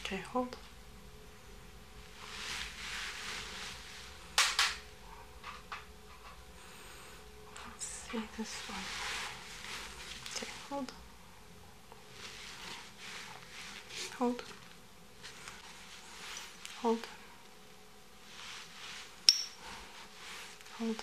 Okay, hold. Let's see this one. Okay, hold. Hold. Hold. Hold.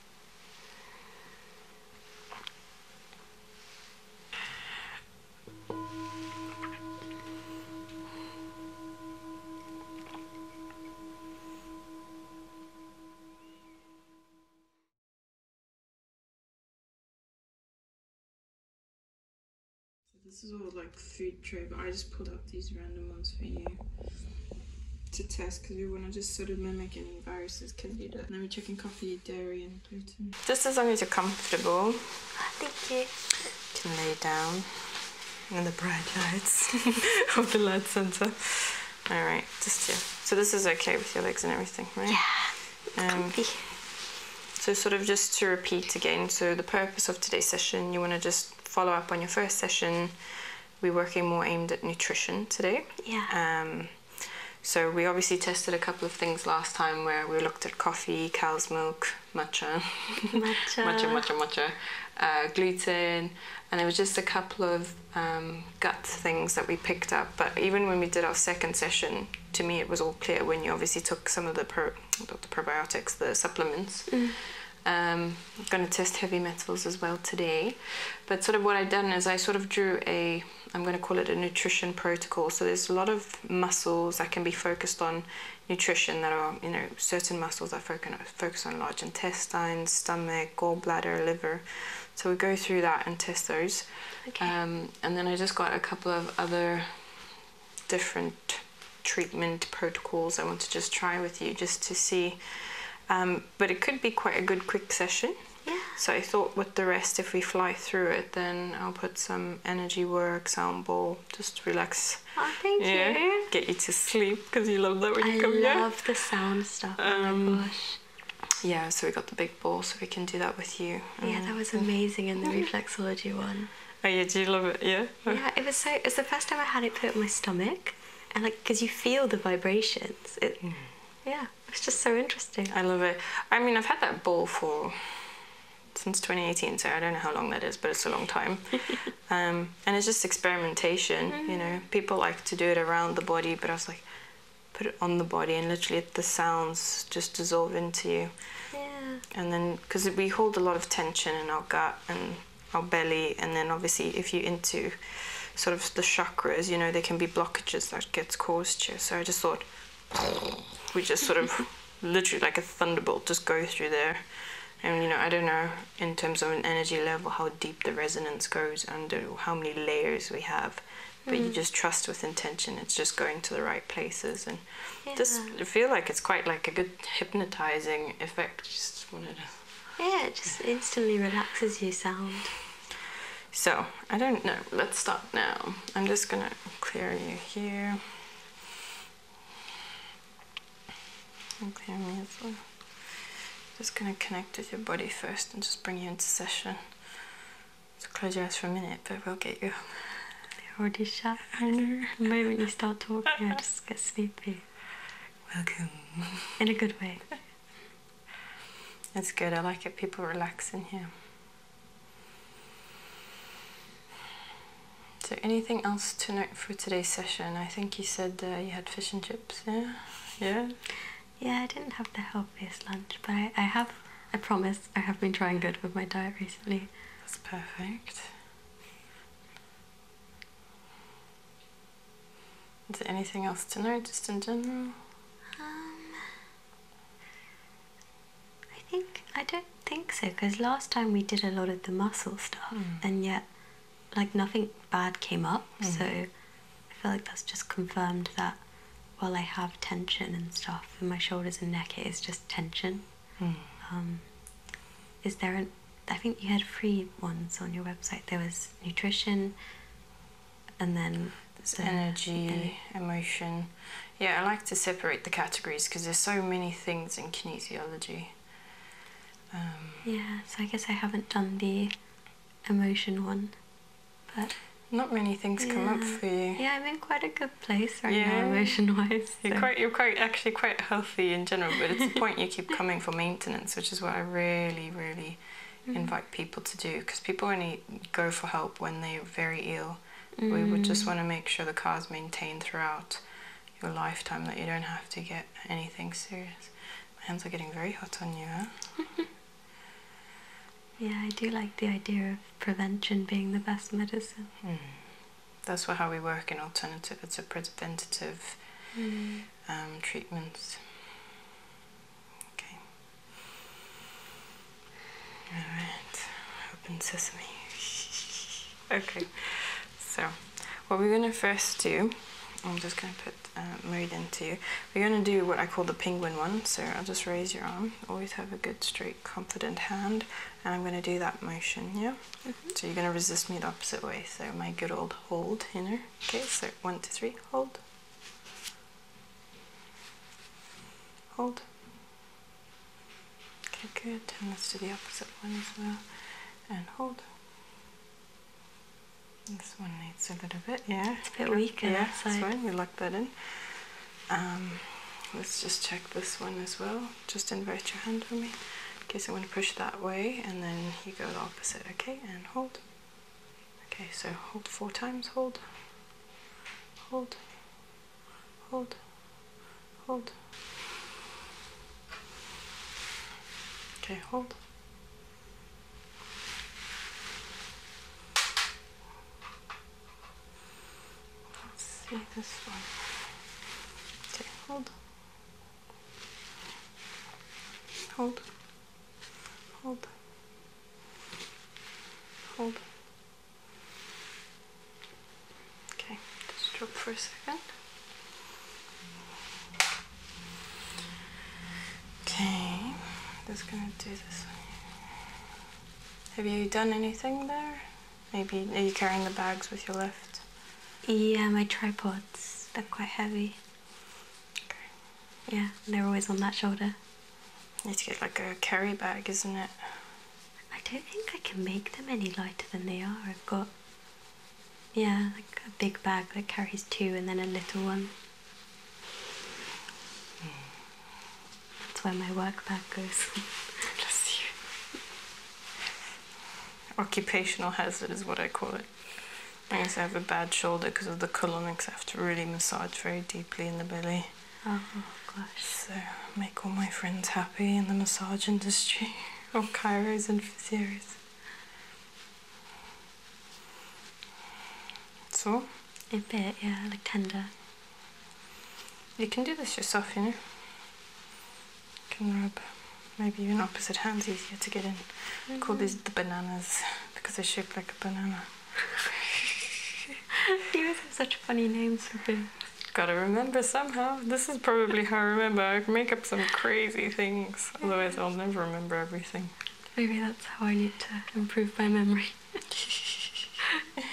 This is all like food tray, but I just pulled out these random ones for you to test because we want to just sort of mimic any viruses can do that. Let me check and come. Just as long as you're comfortable. Thank you. You can lay down in the bright lights of the light center. All right, just here. So this is okay with your legs and everything, right? Yeah, um, So sort of just to repeat again, so the purpose of today's session, you want to just follow up on your first session. We're working more aimed at nutrition today. Yeah. Um, so we obviously tested a couple of things last time where we looked at coffee, cow's milk, matcha, matcha, matcha, matcha, matcha uh, gluten, and it was just a couple of um, gut things that we picked up. But even when we did our second session, to me it was all clear when you obviously took some of the probiotics, the supplements. Mm. Um, I'm going to test heavy metals as well today. But sort of what I've done is I sort of drew a I'm going to call it a nutrition protocol. So there's a lot of muscles that can be focused on nutrition that are, you know, certain muscles that focus on large intestines, stomach, gallbladder, liver. So we go through that and test those. Okay. Um, and then I just got a couple of other different treatment protocols I want to just try with you just to see. Um, but it could be quite a good quick session. Yeah. So I thought with the rest, if we fly through it, then I'll put some energy work, sound ball, just relax. Oh, thank yeah. you. Get you to sleep because you love that when you come here. I love the sound stuff. Um, Yeah, so we got the big ball, so we can do that with you. yeah, that was mm. amazing in the reflexology one. Oh yeah, do you love it? Yeah. Yeah, it was so. It's the first time I had it put in my stomach, and like, cause you feel the vibrations. It, mm. yeah it's just so interesting. I love it. I mean, I've had that ball for since 2018, so I don't know how long that is, but it's a long time. Um, and it's just experimentation, you mm. know. People like to do it around the body, but I was like, put it on the body, and literally the sounds just dissolve into you. Yeah. And then, because we hold a lot of tension in our gut and our belly, and then obviously, if you are into sort of the chakras, you know, there can be blockages that gets caused here. So I just thought we just sort of literally like a thunderbolt just go through there. And you know, I don't know in terms of an energy level how deep the resonance goes under how many layers we have. But you mm. just trust with intention, it's just going to the right places and just feel like it's quite like a good hypnotizing effect. Just wanted Yeah, it just instantly relaxes you sound. So I don't know, let's stop now. I'm just gonna clear you here. clear me Just gonna connect with your body first and just bring you into session. So close your eyes for a minute, but we'll get you. They're already shut. I know. The moment you start talking, I just get sleepy. Welcome. In a good way. It's good. I like it. People relax in here. So, anything else to note for today's session? I think you said uh, you had fish and chips. Yeah, yeah. Yeah, I didn't have the healthiest lunch, but I, I have. I promise, I have been trying good with my diet recently. That's perfect. Is there anything else to note, just in general? Um, I think I don't think so because last time we did a lot of the muscle stuff hmm. and yet like nothing bad came up hmm. so I feel like that's just confirmed that while I have tension and stuff in my shoulders and neck it is just tension. Hmm. Um, is there an I think you had free ones on your website. There was nutrition, and then there's energy, emotion. Yeah, I like to separate the categories because there's so many things in kinesiology. Um, yeah, so I guess I haven't done the emotion one, but not many things come up for you. Yeah, I'm in quite a good place right now, emotion-wise. You're quite, you're quite actually quite healthy in general, but it's the point you keep coming for maintenance, which is what I really, really Mm-hmm. invite people to do because people only go for help when they're very ill. We would just mm. want to make sure the car's maintained throughout your lifetime that you don't have to get anything serious. My hands are getting very hot on you, yeah, I do like the idea of prevention being the best medicine. Hmm. That's what, how we work in alternative. It's a preventative mm. um, treatments. Okay. Alright, open sesame. okay, so what we're going to first do, I'm just going to put uh, meridian to you. We're going to do what I call the penguin one, so I'll just raise your arm. Always have a good, straight, confident hand, and I'm going to do that motion, yeah? Mm-hmm. So you're going to resist me the opposite way, so my good old hold, you know? Okay, so one, two, three, hold. Hold. Okay, good. Turn this to the opposite one as well. And hold. This one needs a little bit, yeah. It's a bit weaker. Yeah, that's fine. Right. We lock that in. Um, let's just check this one as well. Just invert your hand for me. Okay, so i want to push that way and then you go the opposite, okay? And hold. Okay, so hold four times, hold, hold, hold, hold. Okay, hold. Let's see this one. Okay, hold. Hold hold, hold. Okay, just drop for a second. Okay, just gonna do this. Have you done anything there? Maybe are you carrying the bags with your left? Yeah, my tripods. They're quite heavy. Okay. Yeah, they're always on that shoulder need to get like a carry bag, isn't it? I don't think I can make them any lighter than they are. I've got, yeah, like a big bag that carries two and then a little one. That's where my work bag goes. Bless you. Occupational hazard is what I call it. I guess I have a bad shoulder because of the column to really massage very deeply in the belly. Oh gosh. So make all my friends happy in the massage industry or chiros and physios. Sore? A bit, yeah, like tender. You can do this yourself, you know. You can rub maybe even opposite hands easier to get in. Mm call mm-hmm. these the bananas because they're shaped like a banana. you guys have such funny names for things. Gotta remember somehow. This is probably how I remember. I make up some crazy things. Otherwise, I'll never remember everything. Maybe that's how I need to improve my memory. it's gonna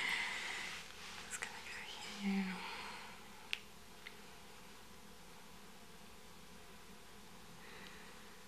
go here.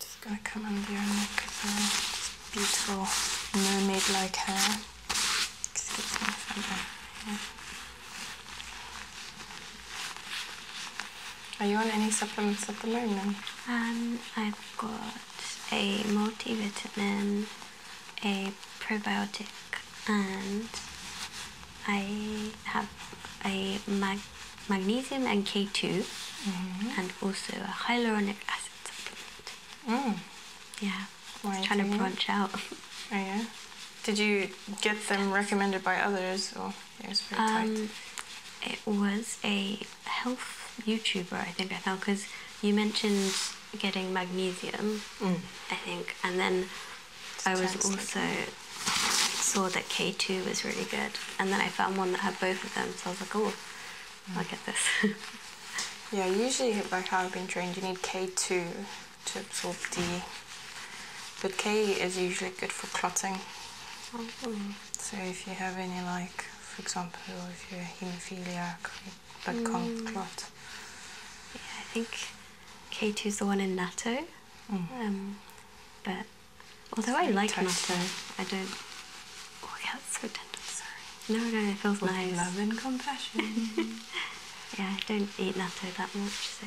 Just gonna come under your neck beautiful mermaid-like hair. Excuse me Are you on any supplements at the moment? Um, I've got a multivitamin, a probiotic, and I have a mag magnesium and K2 mm-hmm. and also a hyaluronic acid supplement. Mm. Yeah, trying to branch out. Oh, yeah? Did you get them recommended by others or it was very um, tight? It was a health YouTuber, I think I found, because you mentioned getting magnesium, mm. I think, and then I was also saw that K2 was really good, and then I found one that had both of them, so I was like, oh, I'll get this. yeah, usually like how I've been trained, you need K2 to absorb D, but K is usually good for clotting. Mm So if you have any like, for example, if you're hemophiliac, but can't mm. clot. Yeah, I think K2 is the one in NATO. Mm. Um, but although I like natto, I don't. Oh yeah, it's so tender. Sorry. No, no, it feels nice. Love and compassion. yeah, I don't eat natto that much, so.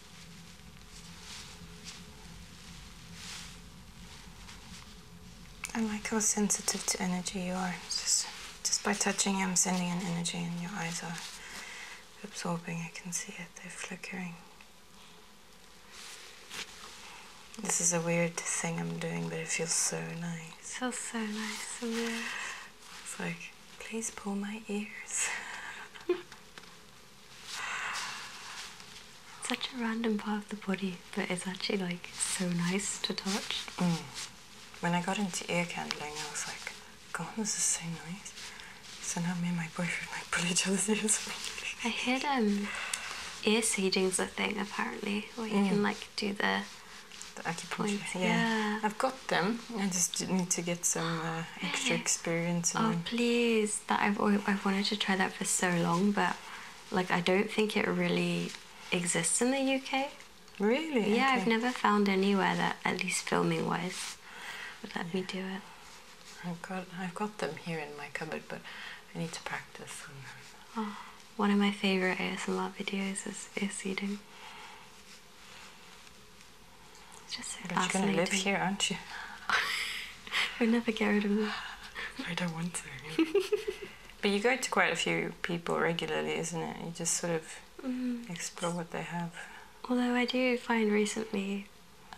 I like how sensitive to energy you are. Just, just by touching you, I'm sending an energy, and your eyes are absorbing. I can see it, they're flickering. This is a weird thing I'm doing, but it feels so nice. It feels so nice in there. It's like, please pull my ears. Such a random part of the body, but it's actually like so nice to touch. Mm. When I got into ear candling, I was like, God, this is so nice. So now me and my boyfriend like pull each other's ears. I heard um, ear seeding's a thing apparently, where you can mm. like do the acupuncture. Yeah, I've got them. I just need to get some uh, extra experience. oh, them. please! That I've I've wanted to try that for so long, but like I don't think it really exists in the UK. Really? Yeah, I've never found anywhere that, at least filming wise, would let me do it. I've got I've got them here in my cupboard, but I need to practice. Oh, one of my favorite ASMR videos is ear seeding you're going to live here, aren't you? we will never get rid of them. I don't want to. but you go to quite a few people regularly, isn't it? You just sort of mm. explore what they have. Although I do find recently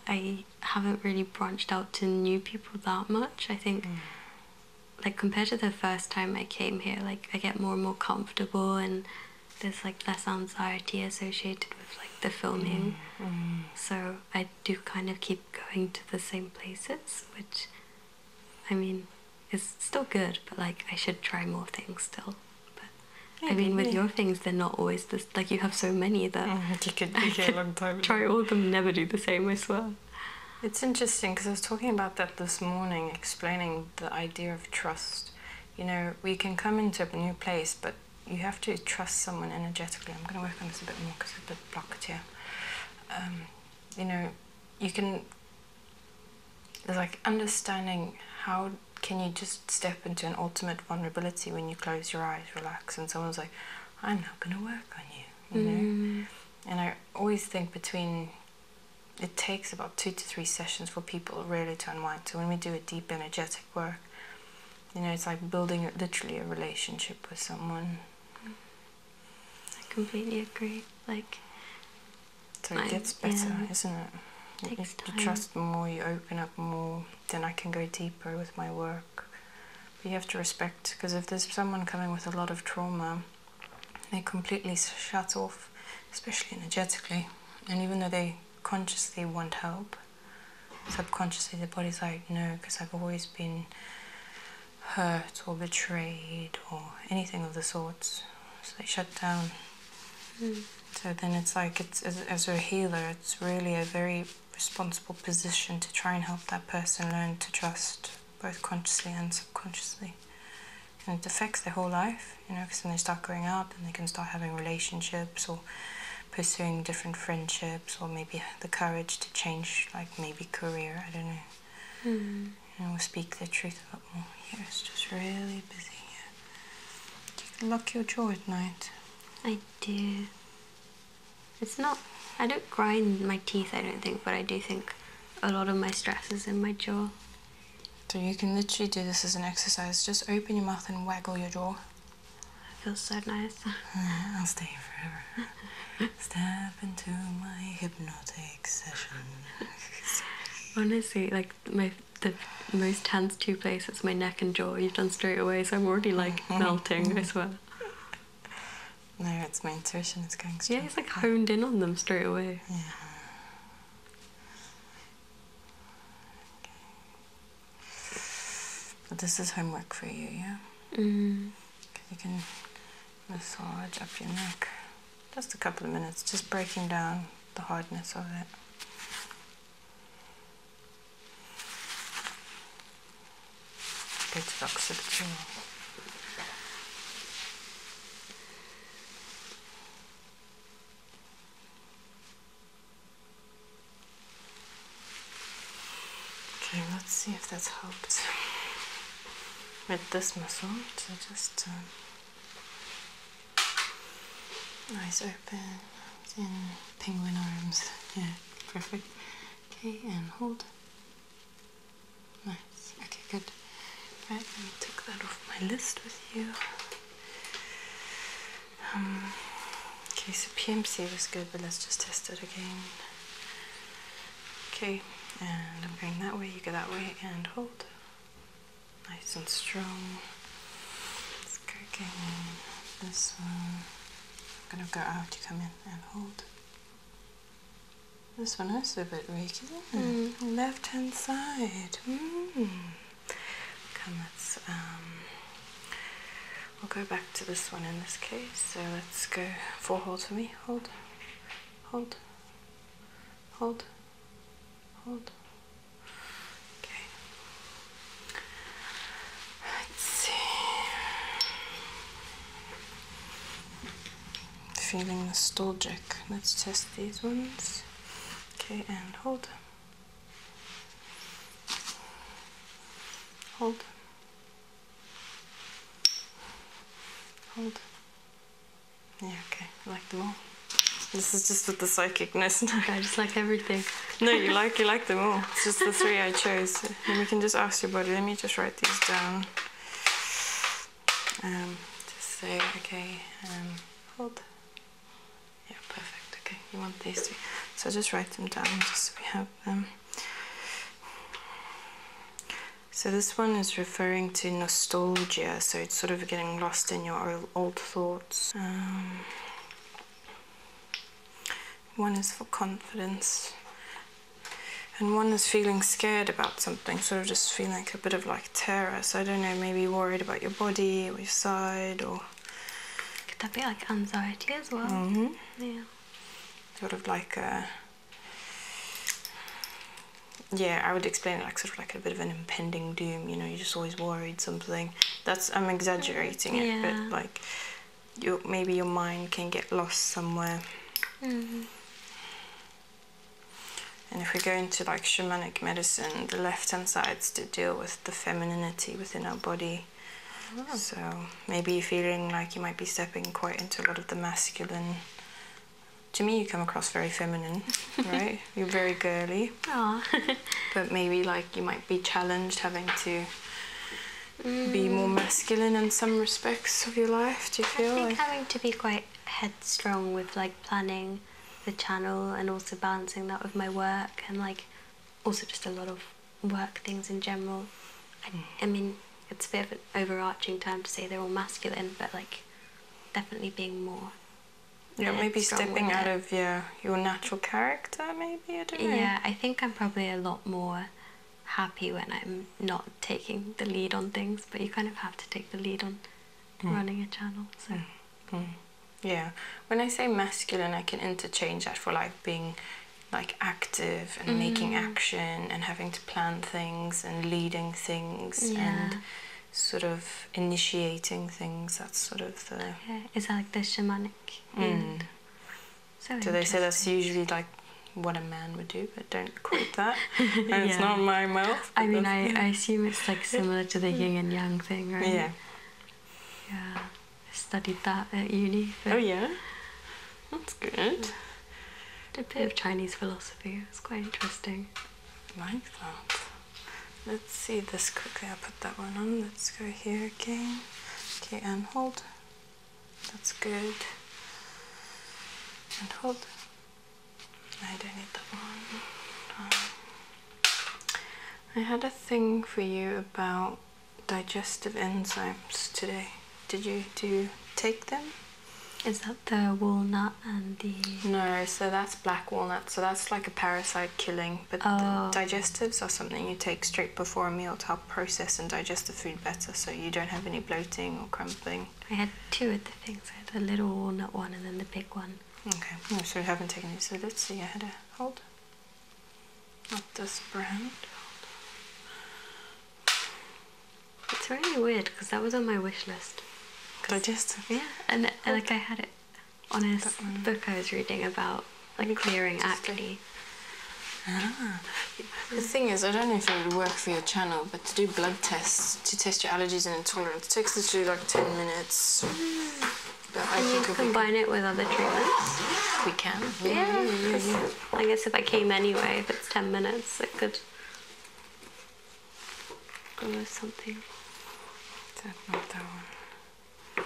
I haven't really branched out to new people that much. I think, mm. like, compared to the first time I came here, like, I get more and more comfortable and there's like less anxiety associated with like the filming. Mm-hmm. So I do kind of keep going to the same places, which I mean is still good, but like I should try more things still. But I mean, with your things, they're not always the Like you have so many that mm, Try all of them, never do the same. I swear. It's interesting because I was talking about that this morning, explaining the idea of trust. You know, we can come into a new place, but you have to trust someone energetically. I'm going to work on this a bit more because it's a bit blocked here. Um, you know, you can. There's like understanding how can you just step into an ultimate vulnerability when you close your eyes, relax, and someone's like, "I'm not going to work on you," you know. Mm. And I always think between it takes about two to three sessions for people really to unwind. So when we do a deep energetic Work, you know it's like building literally a relationship with someone i completely agree like so it gets better isn't it If you, you trust more you open up more then i can go deeper with my work but you have to respect because if there's someone coming with a lot of trauma they completely shut off especially energetically and even though they consciously want help subconsciously the body's like, no, because I've always been hurt or betrayed or anything of the sorts. So they shut down. Hmm. So then it's like, as a healer, it's really a very responsible position to try and help that person learn to trust both consciously and subconsciously. And it affects their whole life you know, because then they start growing up and they can start having relationships or pursuing different friendships or maybe the courage to change, like maybe career, I don't know. Mm. You know, we speak the truth a lot more. Here yeah, it's just really busy here. You lock your jaw at night. I do. It's not, I don't grind my teeth, I don't think, but I do think a lot of my stress is in my jaw. So you can literally do this as an exercise. Just open your mouth and waggle your jaw. It feels so nice. I'll stay here forever. Step into my hypnotic session. Honestly, like my the most tense two places, my neck and jaw. You've done straight away, so I'm already like mm-hmm. melting. I swear. No, it's my intuition. It's going straight. Yeah, it's like honed in on them straight away. Yeah. But this is homework for you, yeah? Mm-hmm. You can massage up your neck. Just a couple of minutes, just breaking down the hardness of it. Good box of Okay, let's see if that's helped with this muscle to just um, eyes open in penguin arms. Yeah, perfect. Okay, and hold. Nice. Okay, good. Right, let me take that off my list with you. Um, okay, so PMC was good, but let's just test it again. Okay, and I'm going that way, you go that way, and hold. Nice and strong. It's cracking. This one. I'm gonna go out, you come in, and hold. This one also a bit regular. Mm. Left hand side. Mm. Okay, let's, um, we'll go back to this one in this case. So let's go four holds for me. Hold, hold, hold, hold. Okay. Let's see. Feeling nostalgic. Let's test these ones. Okay, and hold. Hold. Hold. Yeah, okay. I like them all. This is just with the psychicness. No. I just like everything. no, you like you like them all. It's just the three I chose. And we can just ask your body. Let me just write these down. Um, just say okay. Um, hold. Yeah, perfect. Okay, you want these three. So just write them down just so we have them. So this one is referring to nostalgia, so it's sort of getting lost in your old thoughts. Um, one is for confidence and one is feeling scared about something, sort of just feeling a bit of like terror. So I don't know, maybe worried about your body or your side or could that be like anxiety as well? Mm-hmm. Yeah. Sort of like a. Yeah, I would explain it like sort of like a bit of an impending doom. You know, you're just always worried something. That's I'm exaggerating it, but like, your maybe your mind can get lost somewhere. Mm-hmm. And if we go into like shamanic medicine, the left hand side's to deal with the feminine within our body. Oh. So maybe you're feeling like you might be stepping quite into a lot of the masculine. To me, you come across very feminine, right? You're very girly. Aww. but maybe like you might be challenged having to be mm. more masculine in some respects of your life. Do you feel? having to be quite headstrong with like planning the channel and also balancing that with my work and like also just a lot of work things in general. I, mean, it's a bit of an overarching term to say they're all masculine, but like definitely being more. Yeah, maybe stepping out of your your natural character, maybe I don't know. Yeah, I think I'm probably a lot more happy when I'm not taking the lead on things, but you kind of have to take the lead on mm. running a channel. So. Mm. Mm yeah when i say masculine i can interchange that for like being like active and making mm. action and having to plan things and leading things and sort of initiating things that's sort of the Yeah, is that like the shamanic mm. so, so they say that's usually like what a man would do, but don't quote that. it's not my mouth. I mean, I, I assume it's like similar to the yin and yang thing, right? Yeah. Yeah studied that at uni. Oh yeah, that's good. Did a bit of Chinese philosophy. It was quite interesting. I like that. Let's see this quickly. i put that one on. Let's go here again. Okay, and hold. That's good. And hold. I don't need that one. Um, I had a thing for you about digestive enzymes today. Did you do take them? Is that the walnut and the No, so that's black walnut, so that's like a parasite killing. But oh. digestives are something you take straight before a meal to help process and digest the food better so you don't have any bloating or cramping. I had two of the things. I had the little walnut one and then the big one. Okay, so you haven't taken it. So let's see, I had a hold. Not this brand. It's really weird because that was on my wish list. Because I just Yeah, and, like I had it on a book I was reading about like clearing acne. Ah. The thing is, I don't know if it would work for your channel, but to do blood tests to test your allergies and intolerance takes literally like 10 minutes. Mm. I can you combine it with other treatments? We can. Yeah. yeah, mm-hmm. yeah, I guess if I came anyway, if it's 10 minutes, it could go with something. That,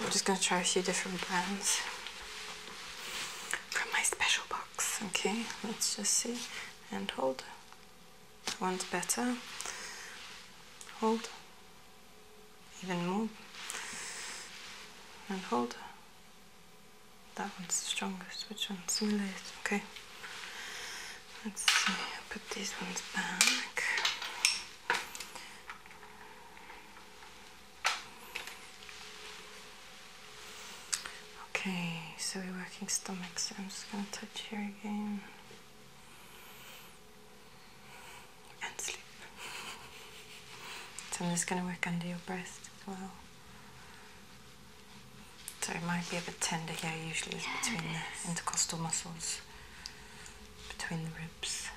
I'm just going to try a few different brands from my special box. Okay, let's just see and hold. That one's better. Hold. Even more. And hold. That one's the strongest. Which one's the least? Okay. Let's see. Put these ones back. Okay, so we're working stomach, so I'm just going to touch here again and sleep. So I'm just going to work under your breast well. So it might be a bit tender here, usually yeah, it's between the intercostal muscles, between the ribs.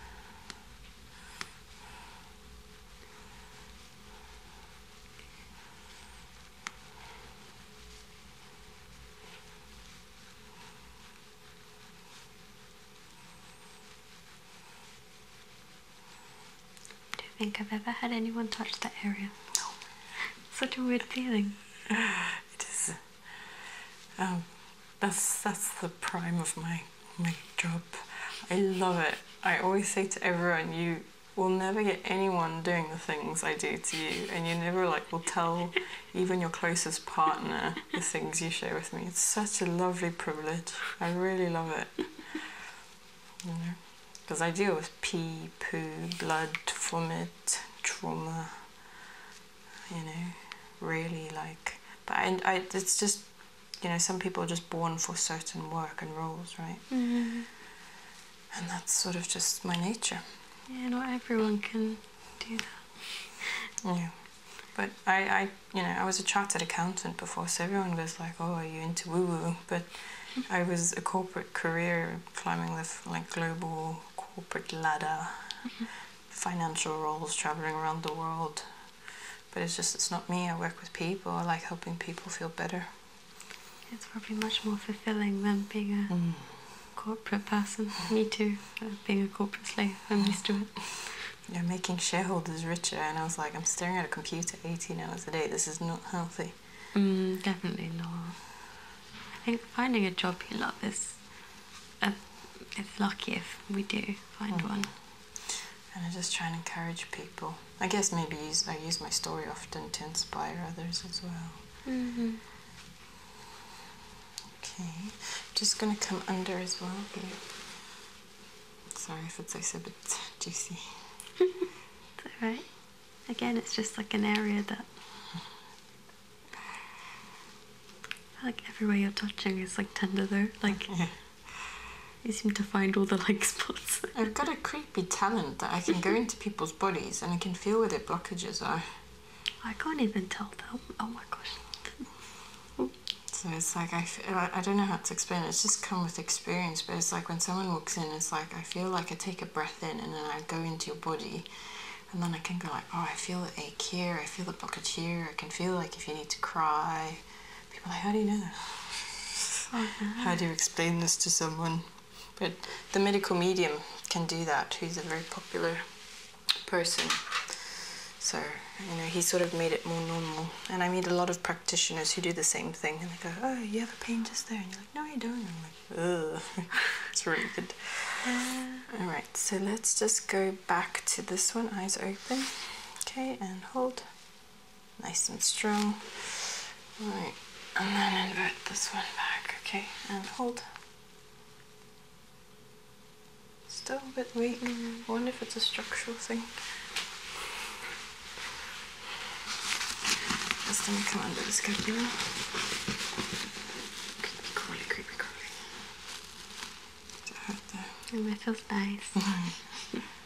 I don't think I've ever had anyone touch that area. No. Such a weird feeling. It is. Um, that's that's the prime of my my job. I love it. I always say to everyone, you will never get anyone doing the things I do to you, and you never like will tell even your closest partner, the things you share with me. It's such a lovely privilege. I really love it. You know, because I deal with pee, poo, blood, vomit, trauma. You know, really like, but I, I it's just, you know, some people are just born for certain work and roles, right? Mm-hmm. And that's sort of just my nature. You know, everyone can do that. Yeah. But I, I, you know, I was a chartered accountant before, so everyone was like, "Oh, are you into woo-woo?" But I was a corporate career, climbing the like global corporate ladder, financial roles, traveling around the world. But it's just it's not me. I work with people. I like helping people feel better. It's probably much more fulfilling than being a mm corporate person. Me too. Being a corporate slave, I'm used to it. you making shareholders richer, and I was like, I'm staring at a computer 18 hours a day. This is not healthy. Mm, definitely not. I think finding a job you love is, a, uh, lucky if we do find mm. one. And I just try and encourage people. I guess maybe use, I use my story often to inspire others as well. Mm -hmm. Okay, just gonna come under as well here. Sorry if it's also a bit juicy. it's Again, it's just like an area that. Like everywhere you're touching is like tender though. Like you seem to find all the like spots. I've got a creepy talent that I can go into people's bodies and I can feel where their blockages are. I can't even tell them. Oh my gosh. so it's like, I, I don't know how to explain it. It's just come with experience, but it's like when someone walks in, it's like I feel like I take a breath in and then I go into your body. And then I can go like, oh, I feel a ache I feel the blockage here. I can feel like if you need to cry. People like, how do you know oh, How do you explain this to someone? But the medical medium can do that, who's a very popular person. So, you know, he sort of made it more normal. And I meet a lot of practitioners who do the same thing. And they go, oh, you have a pain just there. And you're like, no, you don't. I'm like, ugh. it's really good. Uh. All right, so let's just go back to this one. Eyes open. Okay, and hold. Nice and strong. All right, and then invert this one back. Okay, and hold. Still a bit waiting. I wonder if it's a structural thing. This thing come under the scapula. Creepy crawly, creepy crawly. Does it feels nice.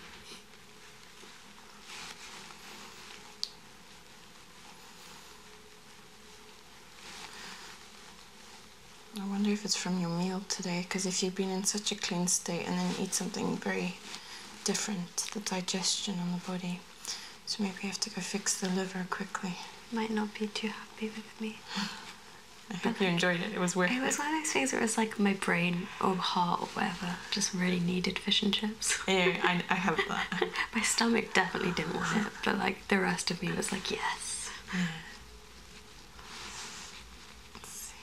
I wonder if it's from your meal today, because if you've been in such a clean state and then eat something very different, the digestion on the body. So maybe you have to go fix the liver quickly. Might not be too happy with me. I hope you enjoyed it. It was worth it. It was one of those things where it was like my brain or heart or whatever just really needed fish and chips. yeah, I have that. my stomach definitely didn't want it, but like the rest of me was like, yes. Let's hmm. see.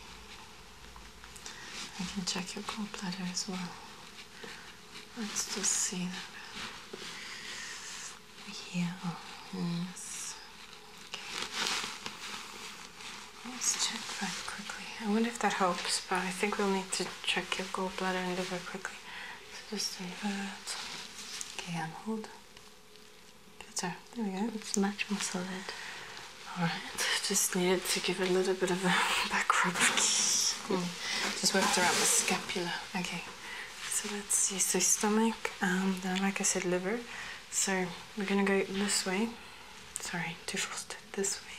I can check your gallbladder as well. Let's just see that. Yeah. Oh, yes. Okay. Let's check that quickly. I wonder if that helps, but I think we'll need to check your gallbladder and liver quickly. So just stay invert. Okay, and hold. So There we go. It's much more solid. Alright, just needed to give a little bit of a back rub. Hmm. Just worked around the scapula. Okay, so let's see. So stomach, um, then like I said, liver. So we're gonna go this way. Sorry, too fast. This way.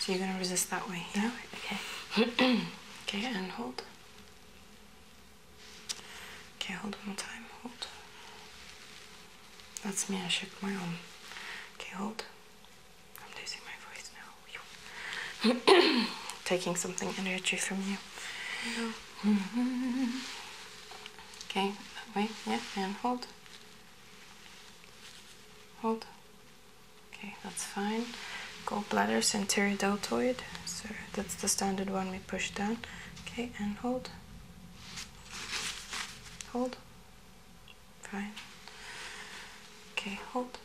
So you're gonna resist that way. Yeah. Okay. okay, and hold. Okay, hold one more time. Hold. That's me. I shook my arm. Okay, hold. I'm losing my voice now. Taking something energy from you. Mm-hmm. Okay, that way. Yeah, and hold. Hold. Okay, that's fine. Gallbladder, anterior deltoid. Sorry that's the standard one we push down okay and hold hold fine okay hold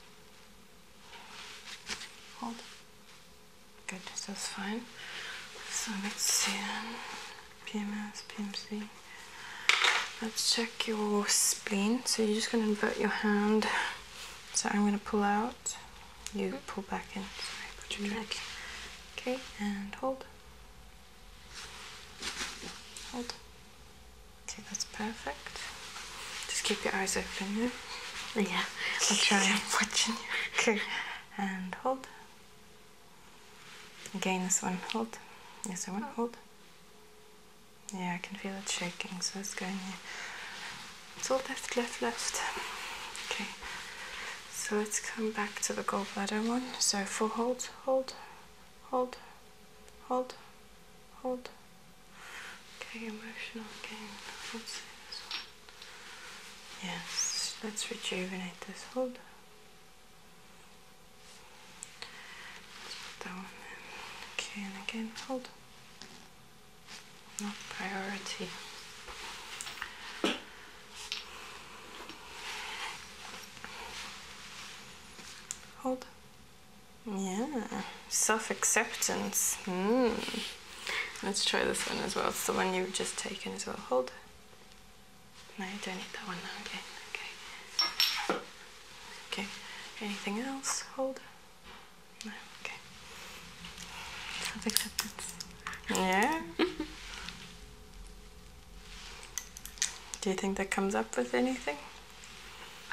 hold good that's fine so let's see PMS PMC let's check your spleen so you're just going to invert your hand so I'm going to pull out you pull back in. Sorry, put your mm-hmm. neck. Okay, and hold. Hold. Okay, that's perfect. Just keep your eyes open, yeah? Yeah, I'll try. I'm watching you. Okay, and hold. Again, this one, hold. Yes, I want hold. Yeah, I can feel it shaking, so it's going here it's all left, left, left. Okay, so let's come back to the gallbladder one. So four hold, hold, hold, hold, hold. Okay, emotional again. Let's see this one. Yes, let's rejuvenate this. Hold. Let's put that one in. Okay, and again, hold not priority. Hold. Yeah, self acceptance. Hmm. Let's try this one as well. It's the one you've just taken as well. Hold. No, you don't need that one now Okay. Okay. Anything else? Hold okay. Self acceptance. Yeah. Do you think that comes up with anything?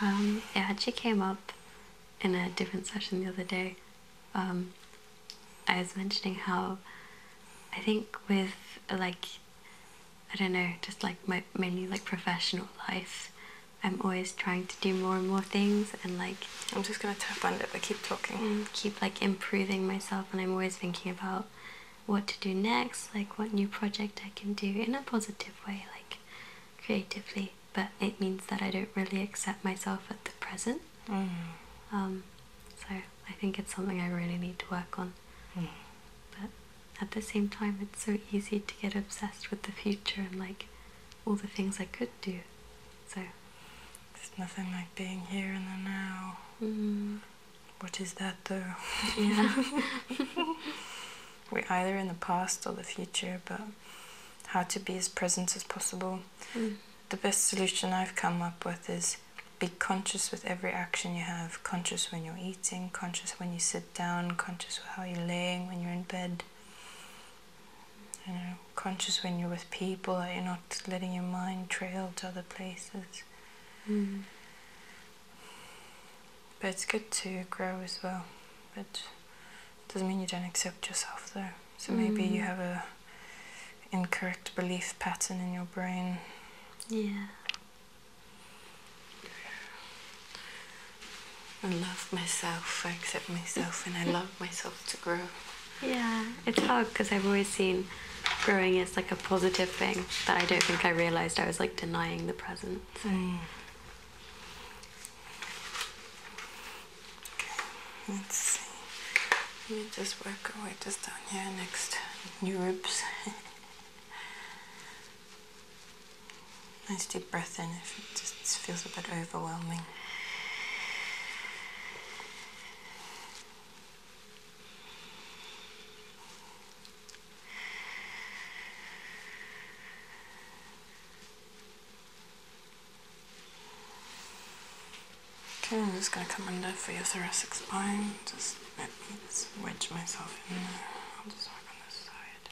Yeah, um, it actually came up in a different session the other day. Um, I was mentioning how I think with like I don't know, just like my mainly like professional life, I'm always trying to do more and more things and like I'm just gonna tap on it, but keep talking. Mm, keep like improving myself, and I'm always thinking about what to do next, like what new project I can do in a positive way, like creatively. But it means that I don't really accept myself at the present. Mm. Um, so I think it's something I really need to work on. Mm. But at the same time, it's so easy to get obsessed with the future and like all the things I could do. So it's nothing like being here in the now. Mm-hmm. What is that though? We're either in the past or the future, but how to be as present as possible. Mm. The best solution I've come up with is be conscious with every action you have conscious when you're eating, conscious when you sit down, conscious with how you're laying when you're in bed you know, conscious when you're with people that you're not letting your mind trail to other places. Mm. But it's good to grow as well. But doesn't mean you don't accept yourself though. So maybe you mm. have a incorrect belief pattern in your brain. Yeah. I love myself, I accept myself, and I love myself to grow. Yeah, it's hard because I've always seen growing as like a positive thing, but I don't think I realized I was like denying the present. Mm. let's see. Let me just work my way just down here next new ribs. nice deep breath in if it just feels a bit overwhelming. I'm just going to come under for your thoracic spine. Just let me wedge myself in there. I'll just work on this side.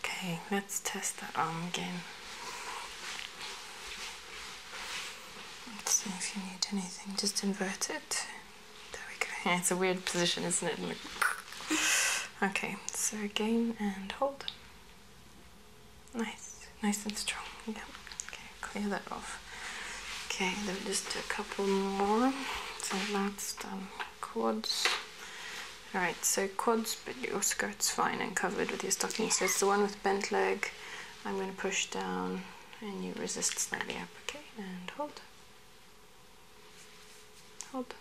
Okay, let's test that arm again. Let's see if you need anything. Just invert it. There we go. Yeah, it's a weird position, isn't it? okay, so again and hold. Nice, nice and strong. Yep. Okay, clear that off. Okay, then just do a couple more. So that's done. Quads. Alright, so quads, but your skirt's fine and covered with your stockings. So it's the one with bent leg, I'm going to push down and you resist slightly up, okay? And hold. Hold.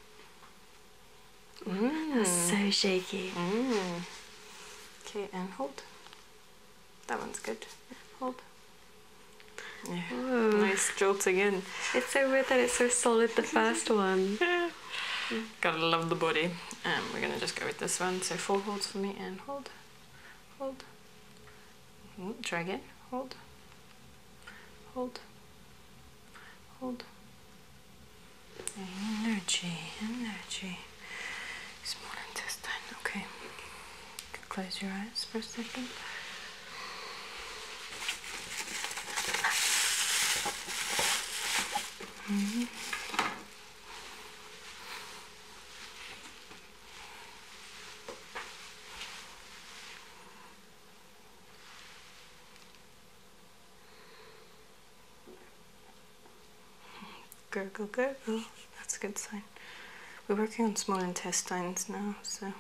Mm. so shaky. Mm. Okay, and hold. That one's good. Hold. Nice jolt again. It's so weird that it's so solid the first one. Gotta love the body. And um, we're gonna just go with this one. So four holds for me and hold hold, hold, try again, hold, hold, hold. Energy, energy. Small intestine. Okay. Close your eyes for a second. -hmm. Gurgle, gurgle. That's a good sign. We're working on small intestines now, so.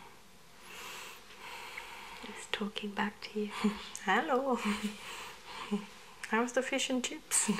It's talking back to you. Hello. How was the fish and chips?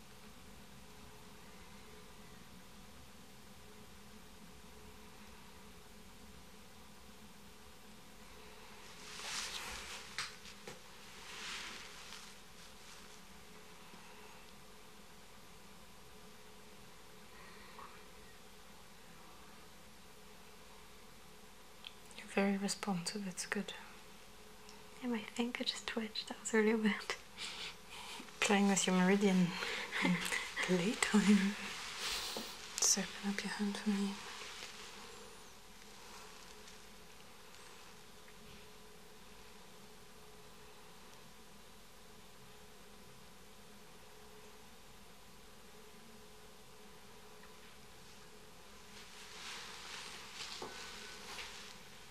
You're very responsive, it's good. I think I just twitched. That was really weird. Playing with your meridian playtime. Just open up your hand for me.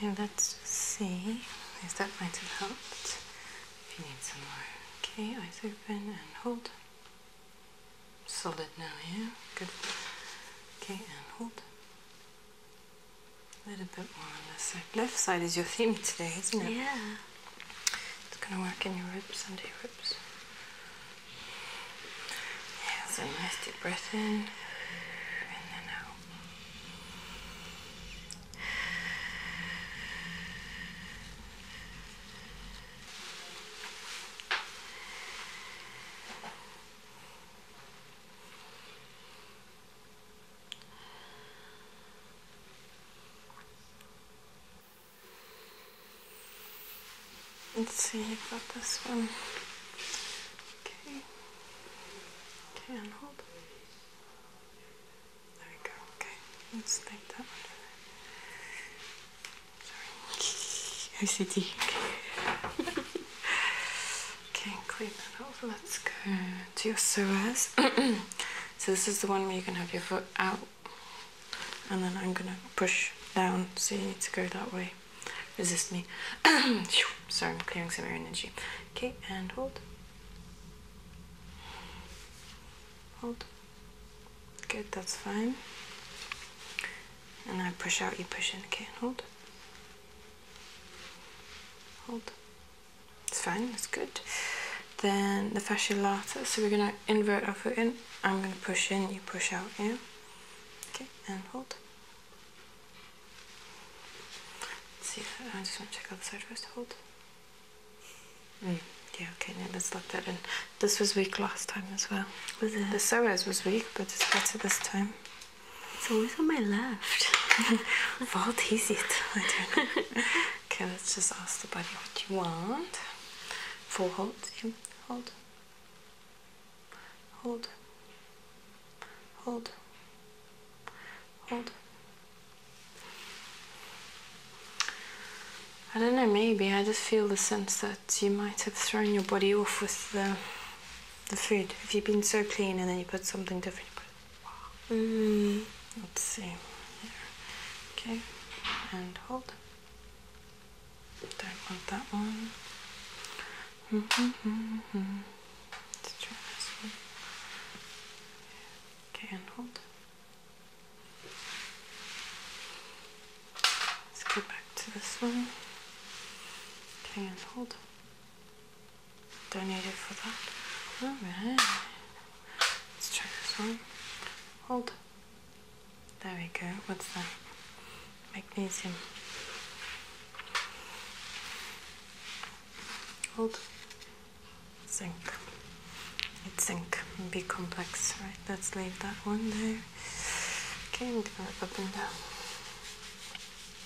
Okay, let's see. Yes, that might have helped. If you need some more. Okay, eyes open and hold. Solid now, yeah? Good. Okay, and hold. A little bit more on this Left side is your theme today, isn't it? Yeah. It's gonna work in your ribs, under your ribs. so nice deep breath in and then out. Let's see, you got this one. Okay. Okay, and hold. There we go. Okay, let's take that one. Sorry. OCD. Okay, clean that off. Let's go to your psoas. so this is the one where you can have your foot out and then I'm gonna push down so you need to go that way. Resist me. Sorry, I'm clearing some air energy. Okay, and hold. Hold. Good, that's fine. And I push out, you push in. Okay, and hold. Hold. It's fine, It's good. Then the fascia lata. So we're gonna invert our foot in. I'm gonna push in, you push out, yeah? Okay, and hold. see that. I just wanna check out the side first. Hold. Mm. Yeah, okay, now let's lock that in. This was weak last time as well. Was it? The psoas was weak, but it's better this time. It's always on my left. what is it? I okay, let's just ask the body what you want. Full hold, in, hold, hold, hold, hold. I don't know, maybe I just feel the sense that you might have thrown your body off with the the food. If you've been so clean and then you put something different, you put it. Wow. Mm, let's see. Here. Okay, and hold. Don't want that one. Mm -hmm, mm -hmm. Let's try this one. Okay, and hold. Let's go back to this one. Okay, and hold donated for that. Alright. Let's try this one. Hold. There we go. What's that? Magnesium. Hold. Zinc. It's zinc. B complex. Right, let's leave that one there. Okay, I'm gonna up and down.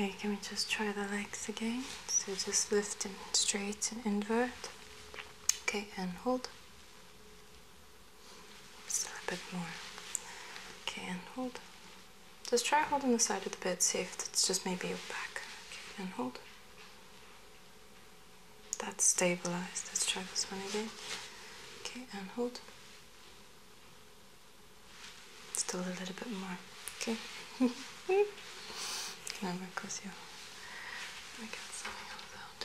Okay, can we just try the legs again? So just lift and straight and invert. Okay, and hold. Just a little bit more. Okay, and hold. Just try holding the side of the bed, see if it's just maybe your back. Okay, and hold. That's stabilized. Let's try this one again. Okay, and hold. Still a little bit more. Okay. Can I work with you? I get something out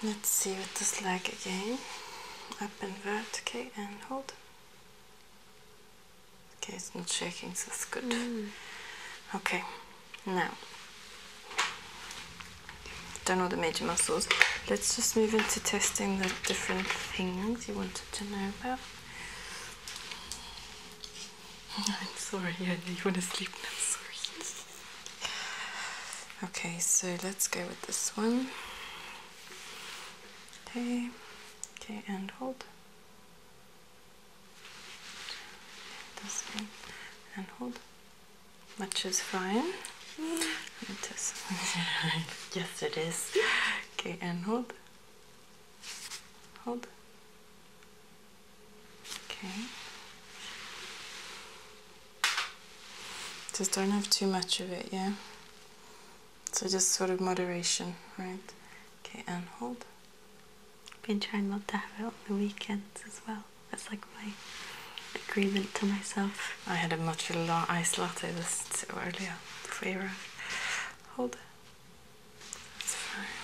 Let's see what this leg again. Up and okay, and hold. Okay, it's not shaking, so that's good. Mm. Okay, now. Done all the major muscles. Let's just move into testing the different things you wanted to know about. I'm sorry, I know you want to sleep now, sorry. Okay, so let's go with this one. Okay, okay, and hold. This one, and hold. Much is fine. yes, it is. Okay, and hold. Hold. Okay. Just don't have too much of it, yeah? So just sort of moderation, right? Okay, and hold. Been trying not to have it on the weekends as well. That's like my agreement to myself. I had a much iced latte this earlier before you arrived. Hold it. That's fine.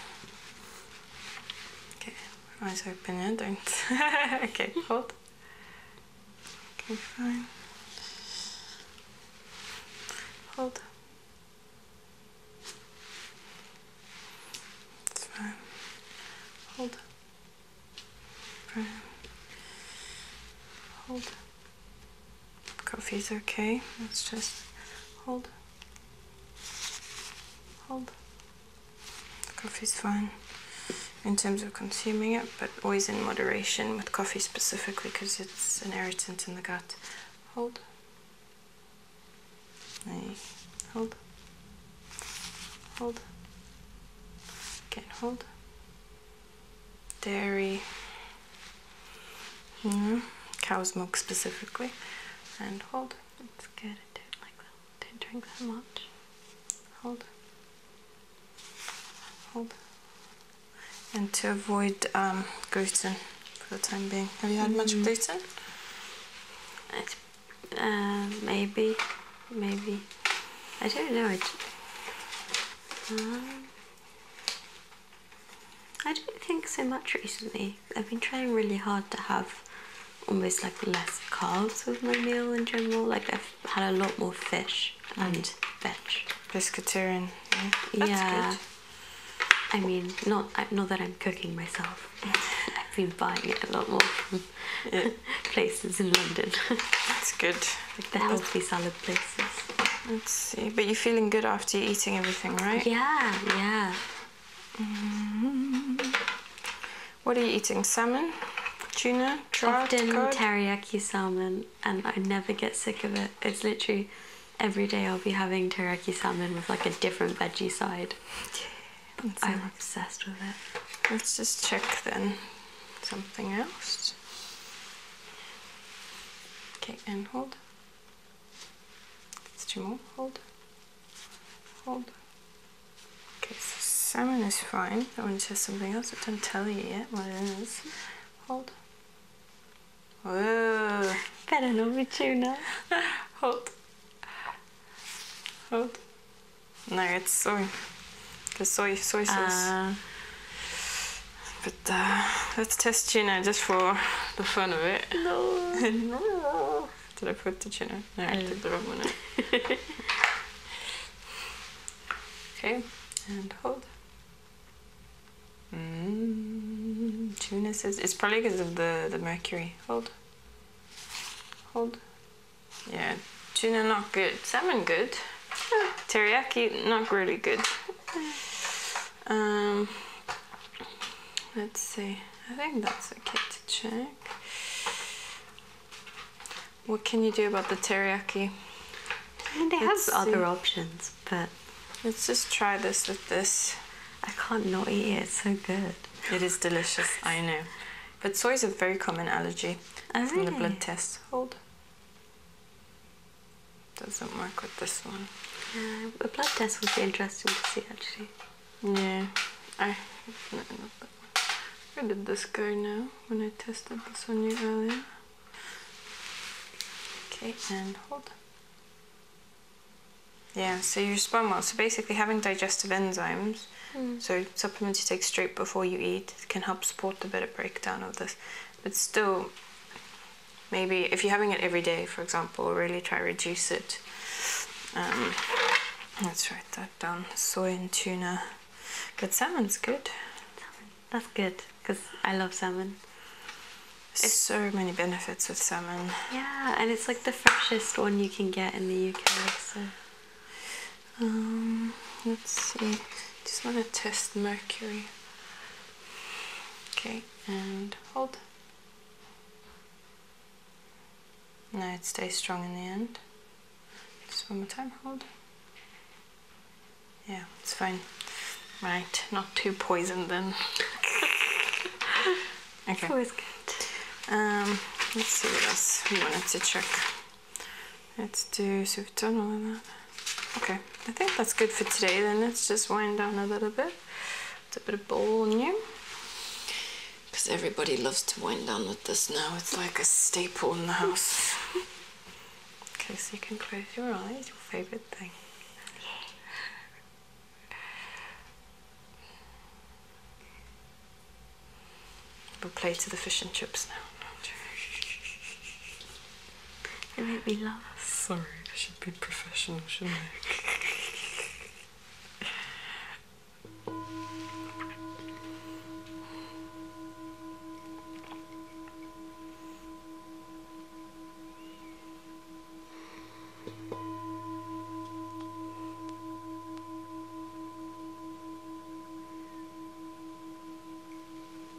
Okay, eyes open, yeah, don't. okay, hold. Okay, fine. Hold. It's fine. Hold. Brown. Hold. Coffee's okay. Let's just hold. Hold. Coffee's fine in terms of consuming it, but always in moderation with coffee specifically because it's an irritant in the gut. Hold. Hold. Hold. Again, hold dairy, cow's milk specifically. And hold. It's good. I do like that. Don't drink that much. Hold. Hold. And to avoid um, gluten for the time being. Have you had much mm-hmm. gluten? It's, uh, maybe. Maybe. I don't know. It, I don't think so much recently. I've been trying really hard to have almost like less carbs with my meal in general. Like I've had a lot more fish mm. and veg. Pescatarian. Yeah. I mean, not not that I'm cooking myself. I've been buying it a lot more from places in London. That's good places. Let's see. But you're feeling good after you're eating everything, right? Yeah, yeah. Mm-hmm. What are you eating? Salmon? Tuna? Trout? Often teriyaki salmon, and I never get sick of it. It's literally every day I'll be having teriyaki salmon with like a different veggie side. I'm obsessed with it. Let's just check then something else. Okay, and hold. It's two more. Hold. Hold. Okay, so salmon is fine. That want to something else. I don't tell you yet What is? Hold. Whoa. Better not be tuna. hold. Hold. No, it's sorry. The soy soy sauce. Uh, but uh, let's test tuna just for the fun of it. No. Did I put the tuna? No, I mm. did the wrong one. okay, and hold. Mm, tuna says it's probably because of the the mercury. Hold. Hold. Yeah, tuna not good. Salmon good. Eh, teriyaki not really good. Um, let's see. I think that's okay to check. What can you do about the teriyaki? I mean, they let other options, but let's just try this with this. I can't not eat it. It's so good. It is delicious. I know. But soy is a very common allergy from the oh, blood test. Hold. Doesn't work with this one. Yeah, a blood test would be interesting to see actually. Yeah, I. No, Where did this guy now when I tested this one you earlier? Okay, and hold. Yeah, so you respond well. So basically, having digestive enzymes, hmm. so supplements you take straight before you eat, can help support the better breakdown of this but still maybe if you're having it every day for example really try reduce it um, let's write that down soy and tuna Good salmon's good that's good because i love salmon it's so many benefits with salmon yeah and it's like the freshest one you can get in the uk so um, let's see. Just want to test mercury. Okay, and hold. Now it stays strong in the end. Just one more time, hold. Yeah, it's fine. Right, not too poisoned then. okay. It's always good. Um, let's see what else we wanted to check. Let's do subtonal and that. Okay, I think that's good for today then. Let's just wind down a little bit. It's a bit of volume. Because everybody loves to wind down with this now. It's like a staple in the house. okay, so you can close your eyes, your favorite thing. We'll play to the fish and chips now. It made me laugh. Sorry, I should be professional, shouldn't I?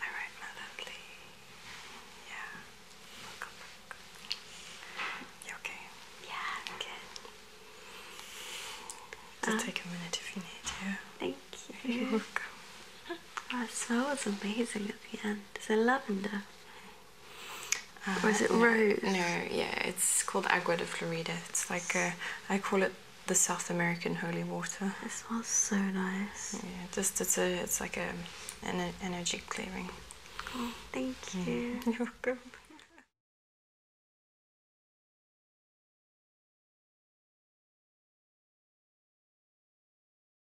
All right, my Yeah. Welcome back. You okay? Yeah, i Just um, take a minute if you need to. Thank you. You're welcome. That smells amazing at the end. Is it lavender? Uh, or is it no, rose? No, yeah, it's called Agua de Florida. It's like, I call it the South American holy water. It smells so nice. Yeah, just it's a, it's like a, an energy clearing. Oh, thank you. You're welcome.